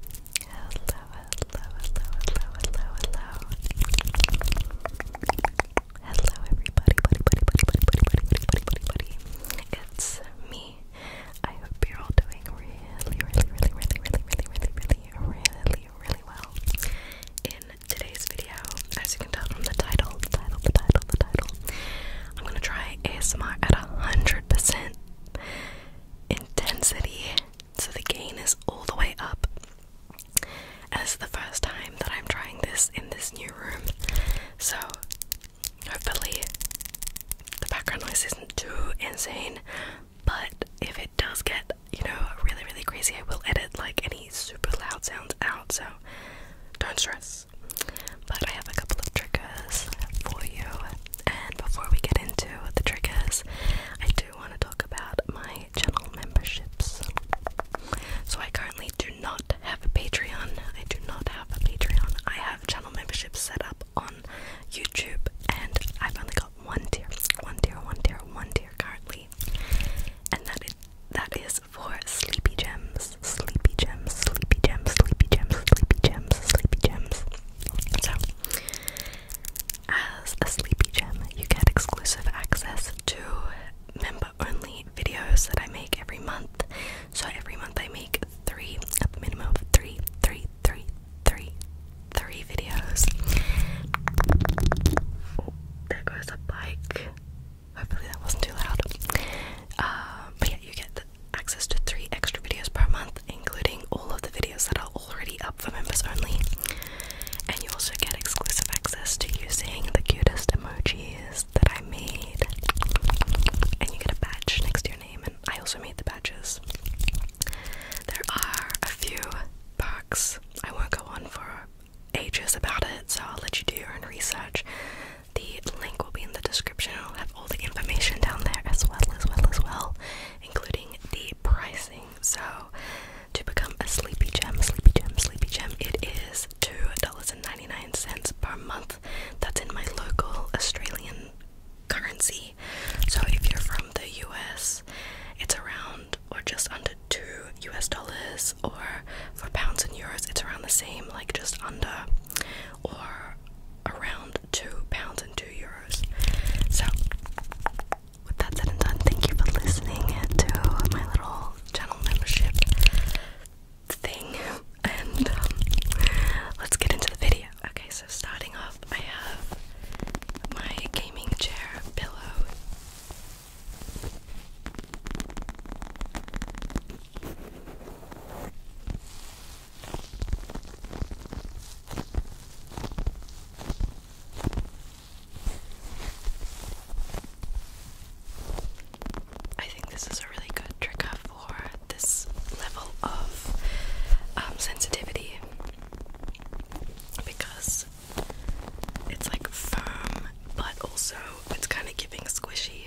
hello, hello, hello, hello, hello. Hello everybody, buddy, buddy, buddy, buddy, buddy, buddy, buddy, It's me. I hope you're all doing really, really, really, really, really, really, really, really, really, really well. In today's video, as you can tell from the title, title, the title, the title, I'm gonna try ASMR at a hundred percent intensity, so the gain is all the way up. And this is the first time that I'm trying this in this new room, so hopefully the background noise isn't too insane. But if it does get, you know, really, really crazy, I will edit like any super loud sounds out, so don't stress. But I have a couple of triggers for you and before we get into the triggers, I do want to talk about my channel memberships. So I currently do not have a Patreon. I do not have a Patreon. I have channel memberships set up on YouTube, and I've only got one tier, one tier, one tier, one tier currently, and that is that is for Sleepy Gems, Sleepy Gems, Sleepy Gems, Sleepy Gems, Sleepy Gems. Sleepy Gems. So, as a Sleepy Gem, you get exclusive access to member only videos that I make every month. So, every month I make three, at minimum of three, three, three, three, three videos. there goes a bike. Hopefully that wasn't too loud. Uh, but yeah, you get the access to three extra videos per month, including all of the videos that are already up for members only. And you also get exclusive access to using the cutest emojis that I made. And you get a badge next to your name, and I also made the badges. There are a few perks. I won't go on for ages about it, so I'll let you do your own research. The link will be in the description all the information down there as well as well as well, including the pricing. So to become a sleepy gem, sleepy gem, sleepy gem, it is $2.99 per month. That's in my local Australian currency. So if you're from the US, it's around or just under two US dollars, or for pounds and euros, it's around the same, like just under or around two pounds and two euros. So, with that said and done, thank you for listening to my little channel membership thing. And um, let's get into the video. Okay, so starting off, I have my gaming chair pillow. I think this is a really good trigger for this level of um, sensitivity because it's like firm, but also it's kind of giving squishy.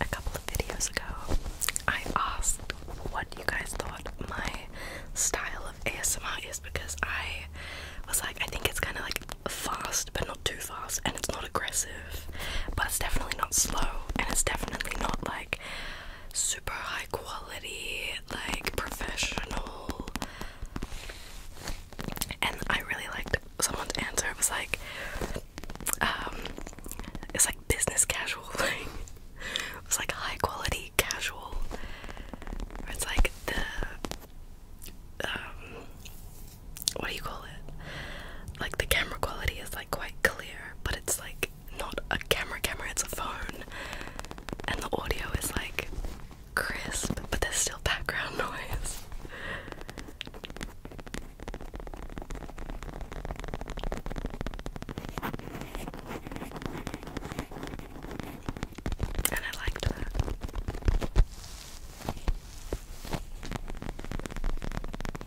A couple of videos ago, I asked what you guys thought my style of ASMR is because I was like, I think it's kind of like fast, but not too fast, and it's not aggressive, but it's definitely not slow, and it's definitely not like super high quality, like professional. And I really liked someone's answer. It was like, um, it's like business casual thing. It was like high quality casual. it's like the, um, what do you call it? Like the camera quality is like quite clear, but it's like not a camera camera, it's a phone. And the audio is like crisp, but there's still background noise. And I liked that.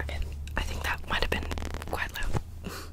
Okay, I think that might have been quite loud.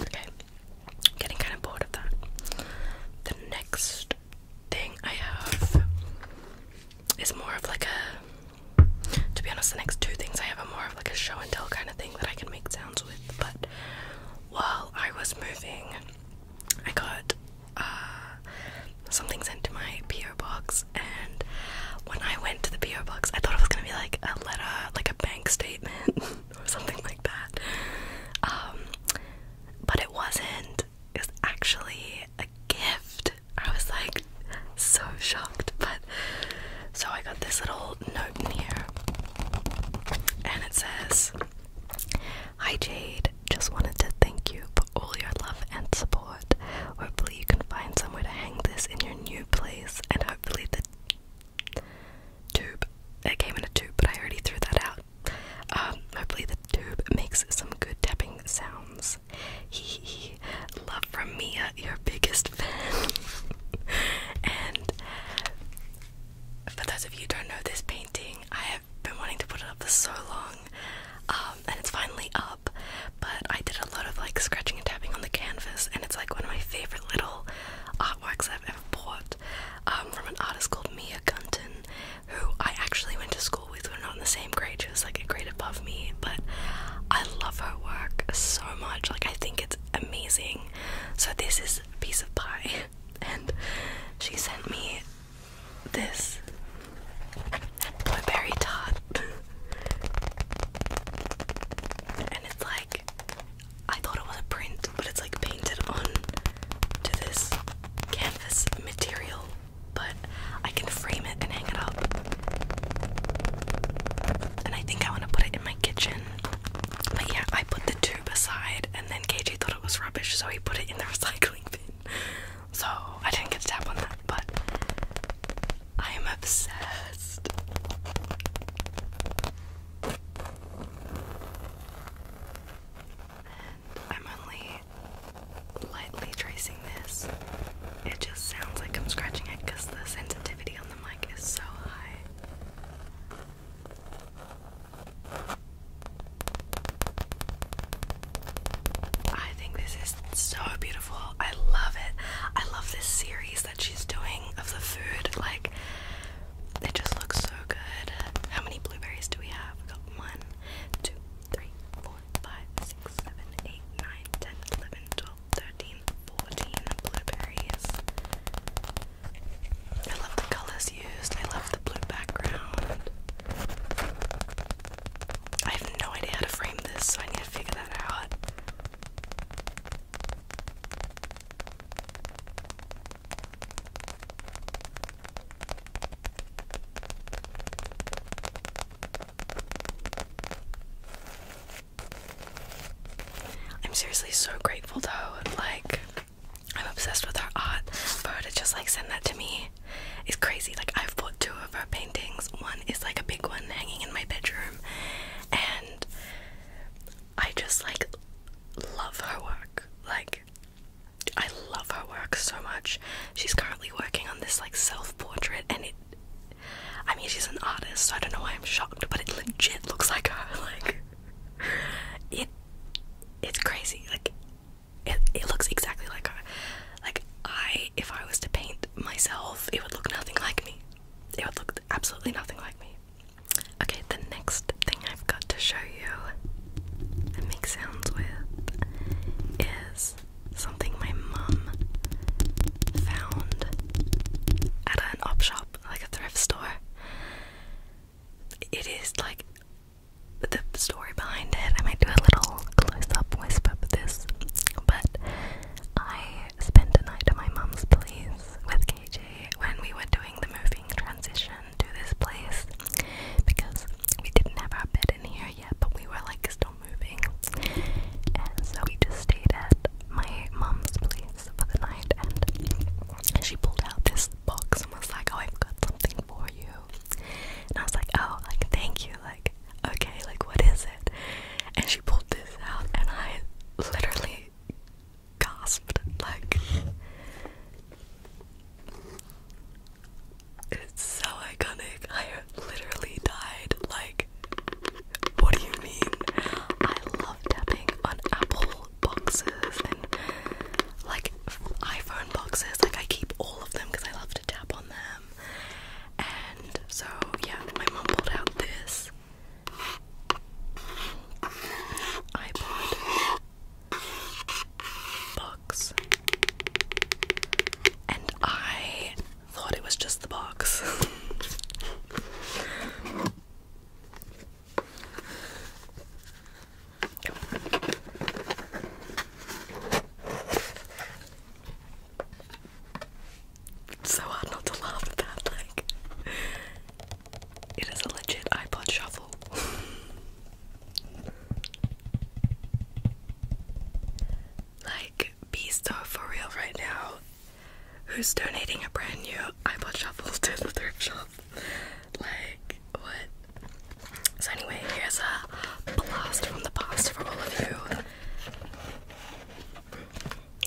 Okay, getting kind of bored of that. The next thing I have is more of like a. To be honest, the next two things I have are more of like a show and tell kind of thing that I can make sounds with. But while I was moving, I got uh, something sent to my PO box, and when I went to the PO box, I thought it was gonna be like a letter, like a bank statement or something like that. Um, but it wasn't. It was actually a gift. I was like so shocked, but so I got this little note in here, and it says. Hi Jade, just wanted to thank you for all your love and support. Hopefully, you can find somewhere to hang this in your new place, and hopefully, the tube it came in a tube, but I already threw that out. Um, hopefully, the tube makes some good tapping sounds. Hee hee. love from Mia, your biggest fan. and for those of you don't know this painting, I I've been wanting to put it up for so long, um, and it's finally up. But I did a lot of like scratching and tapping on the canvas, and it's like one of my favorite little artworks I've ever bought um, from an artist called Mia Gunton, who I actually went to school with. We're not in the same grade; she was like a grade above me. But I love her work so much. Like I think it's amazing. So this is a piece of pie. and she sent me this blueberry tart. and it's like I thought it was a print, but it's like painted on to this canvas material. But I can frame it and hang it up. And I think I want to put it in my kitchen. But yeah, I put the tube aside, and then KJ thought it was rubbish, so he put it in the recycling bin. So I didn't get to tap on that, but I am obsessed. I'm only lightly tracing this. It just sounds like I'm scratching it because the sensitivity on the mic is so high. I think this is so beautiful. I love it. I love this series that she's doing of the food. Like, it just looks so good. How many blueberries do we have? got one, two, three, four, five, six, seven, eight, nine, ten, eleven, twelve, thirteen, fourteen blueberries. I love the colors used. I love the blue background. I have no idea how to frame this, so I need to figure that out. I'm seriously so grateful though, like I'm obsessed with her art. For her just like send that to me is crazy. Like I've bought two of her paintings. One is like a big one hanging in my bedroom, and I just like love her work. Like I love her work so much. She's currently working on this like self-portrait, and it. I mean, she's an artist, so I don't know why I'm shocked, but it legit looks like her. Like it it's crazy. Like it, it looks exactly like her. Like I, if I was to paint myself, it would look nothing like me. It would look absolutely nothing like me. Okay, the next thing I've got to show you and make sounds with is something my mum found at an op shop, like a thrift store it is like the story behind it. I might do a little close up whisper for this, but I spent a night at my mom's place with KJ when we were doing the moving transition to this place because we didn't have our bed in here yet, but we were like still moving, and so we just stayed at my mom's place for the night and she pulled out this box and was like, Oh, I've got something for you and I was like, Oh, like thank you, like okay, like what is it? And she pulled this out and I literally gasped like It's so iconic. I literally died like what do you mean? I love tapping on Apple boxes and like iPhone boxes. Like I keep all of them because I love to tap on them. And so yeah, my mom pulled out this iPod box, and I thought it was just the box. It's so hard not to laugh at that, like it is a legit iPod shuffle. like be so for real right now who's donating a brand new iPod shuffle to the thrift shop. Like, what? So, anyway, here's a blast from the past for all of you.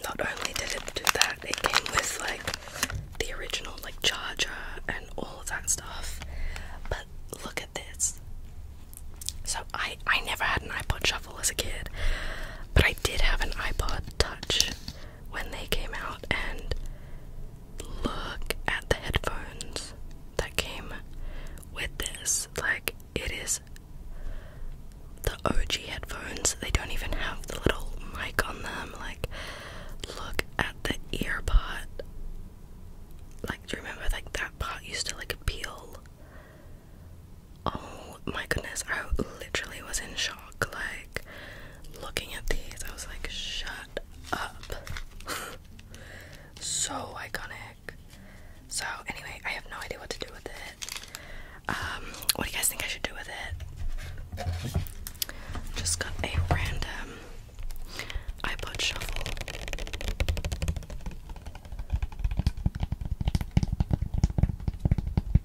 Not only did it do that, it came with like the original like charger and all of that stuff. But look at this. So I I never had an iPod Shuffle as a kid, but I did have an iPod Touch, when they came out and look at the headphones that came with this. Like, it is the OG headphones. They don't even have the little mic on them. Like, look at the ear part. Like, do you remember, like, that part used to, like, peel? Oh my goodness, I literally was in shock. Like, looking at these, I was like, shut up. so iconic. So, anyway, I have no idea what to do with it. Um, what do you guys think I should do with it? Just got a random iPod shuffle.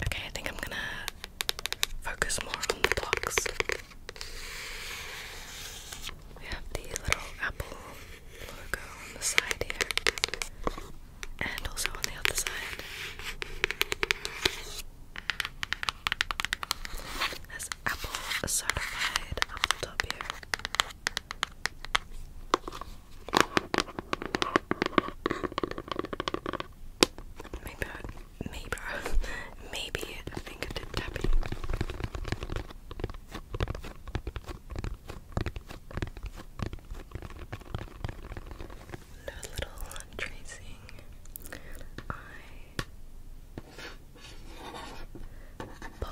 Okay, I think I'm gonna focus more on the box. We have the little apple logo on the side here and also on the other side. There's Apple certified up the top here. Maybe, maybe, maybe I tapping. No little tracing. I put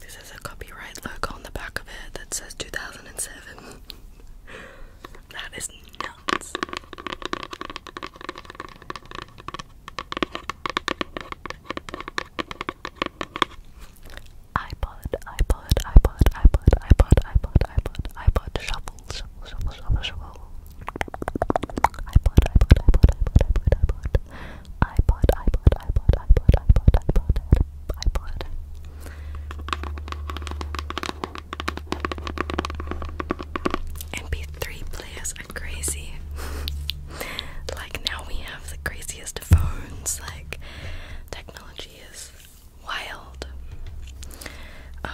this is a copyright logo on the back of it that says 2007. that is nuts. iPod, iPod, iPod, iPod, iPod, iPod, iPod, iPod, iPod, I shovel, shovel, shovel. iPod, iPod, iPod, iPod, iPod, iPod, iPod, iPod, iPod, iPod, iPod, iPod, iPod. MP3 players are crazy. like now we have the craziest phones. Like technology is wild. Um,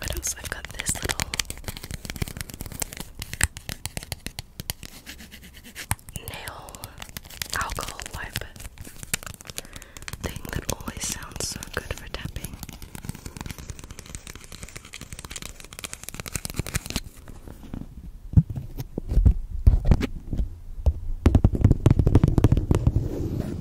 what else? I've got this little nail alcohol wipe thing that always sounds so good for tapping.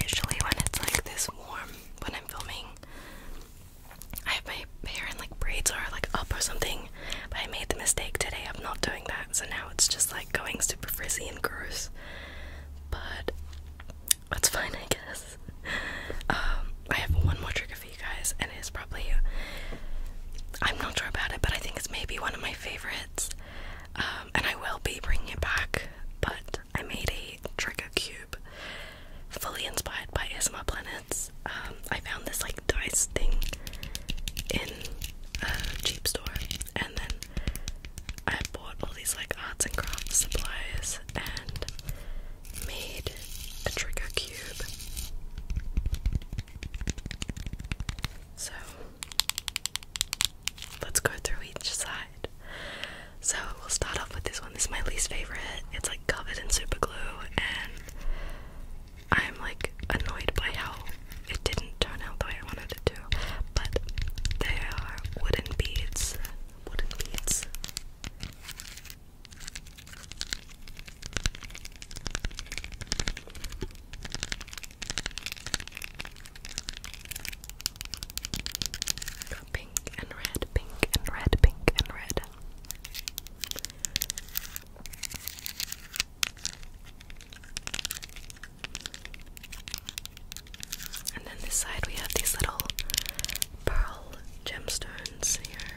Usually, when it's like this warm, when I'm filming, I have my hair and like braids or like up or something. But I made the mistake today of not doing that, so now it's just like going super frizzy and gross. But that's fine, I guess. Um, I have one more trigger for you guys, and it is probably. I'm not sure about it, but I think it's maybe one of my favorites. Um, and I will be bringing it back. But I made a trigger cube, fully inspired by Isma Planets. Um, I found this like dice thing in a cheap store, and then I bought all these like arts and crafts supplies and made a trigger cube. So let's go through each side. So we'll start off with this one. This is my least favorite. It's like covered in super glue, and I'm like annoyed by how it didn't turn out the way I wanted it to. But they are wooden beads. Wooden beads. Pink and red, pink and red, pink and red. And then this side, we have these little pearl gemstones here.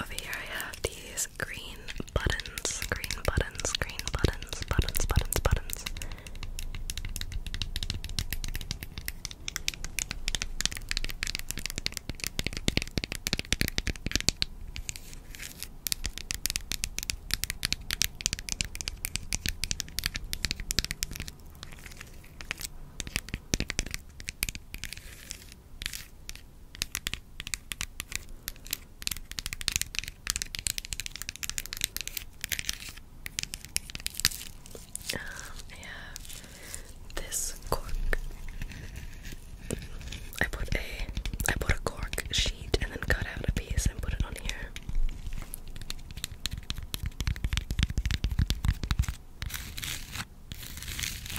Over here I have these green buttons, green buttons, green buttons, buttons, buttons, buttons. Um, I this cork. I put a I put a cork sheet and then cut out a piece and put it on here.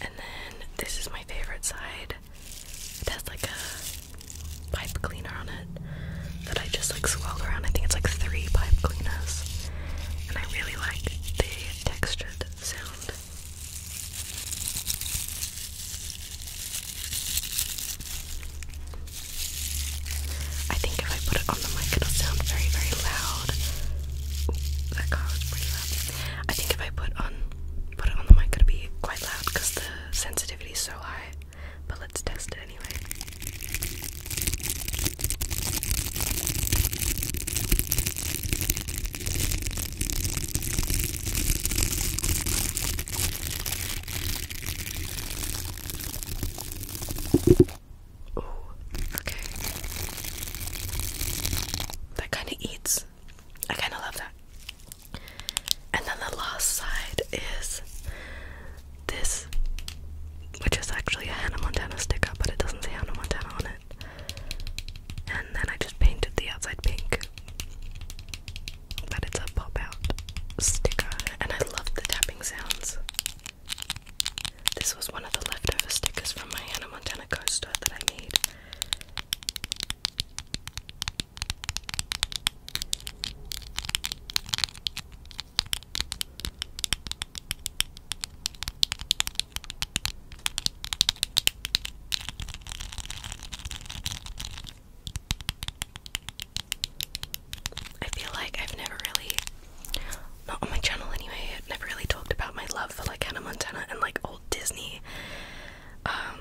And then this is my favorite side. It has like a pipe cleaner on it that I just like swirled around. I think it's like three pipe cleaners. And I really like the textured sound. I think if I put it on the mic, it'll sound very, very loud. that car was pretty loud. I think if I put on put it on the mic, it'll be quite loud because the sensitivity is so high. But let's test it anyway. Ooh, okay. That kind of eats I kind of love that. And then the last side is this, which is actually a Hannah Montana sticker, but it doesn't say Hannah Montana on it. And then I just painted the outside pink. But it's a pop out sticker, and I love the tapping sounds. This was one of the leftover stickers from my Hannah Montana coaster that I made. I feel like I've never really, not on my channel anyway, I've never really talked about my love for like Hannah Montana and like Disney. Um,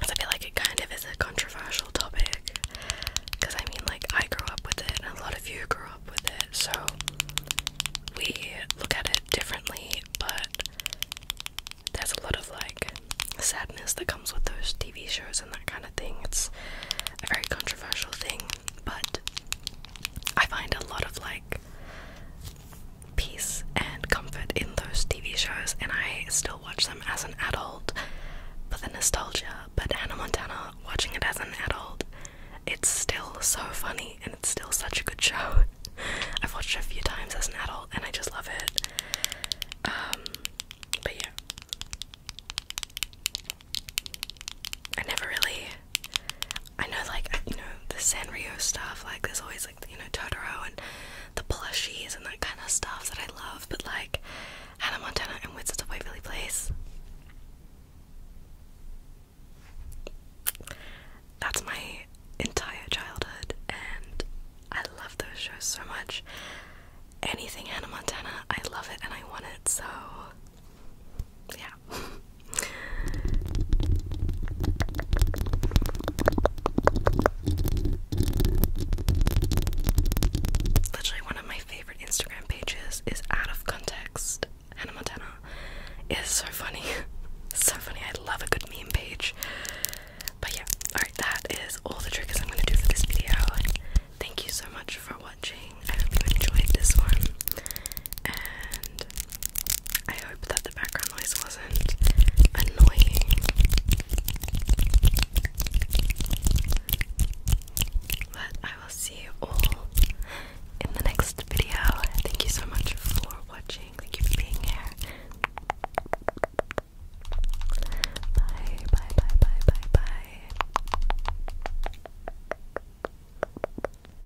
cause I feel like it kind of is a controversial topic. Cause I mean, like I grew up with it, and a lot of you grew up with it, so we look at it differently. But there's a lot of like sadness that comes with those TV shows and that kind of thing. It's a very controversial thing, but I find a lot of like peace and comfort in those TV shows, and I still watch them as an adult for the nostalgia. But Hannah Montana, watching it as an adult, it's still so funny and it's still such a good show. I've watched a few times as an adult and I just love it. Um, but yeah. I never really I know, like, you know, the Sanrio stuff, like, there's always, like, you know, Totoro and the plushies and that kind of stuff that I love, but, like, Hannah Montana and Wizards of Waverly Place. That's my entire childhood, and I love those shows so much. Anything Hannah Montana, I love it and I want it, so yeah. Literally, one of my favorite Instagram pages is Out of Context Hannah Montana. It is so funny. so funny. I love a good meme page. But yeah, alright, that is all the tricks I'm going to do for this video. Thank you so much for watching. I hope you enjoyed this one and I hope that the background noise wasn't annoying. But I will see you all in the next video. Thank you so much for watching. Thank you for being here. Bye, bye, bye, bye, bye, bye.